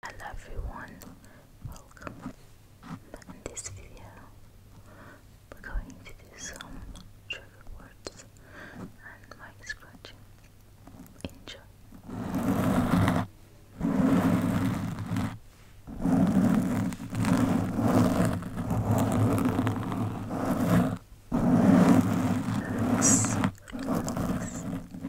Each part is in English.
Hello everyone, welcome. In this video, we're going to do some trigger words and mic scratching. Enjoy.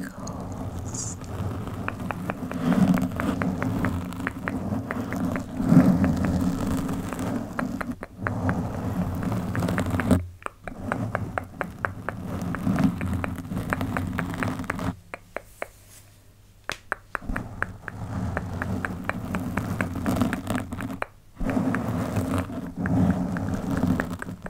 Goals.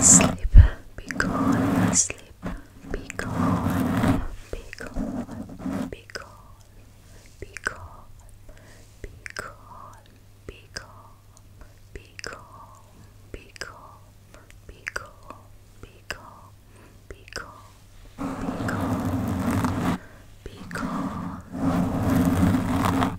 Sleep, be gone, sleep, be gone, be gone, be gone, be gone, be gone, be gone, be gone, be gone, be gone, be gone, be gone, be gone, be gone.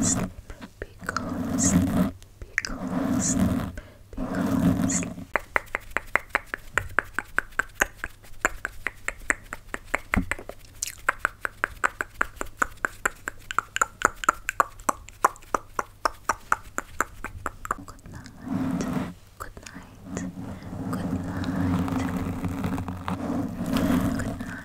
sleep, be calm, sleep, be calm, sleep, be calm, sleep. Good night. Good night. Good night. Good night.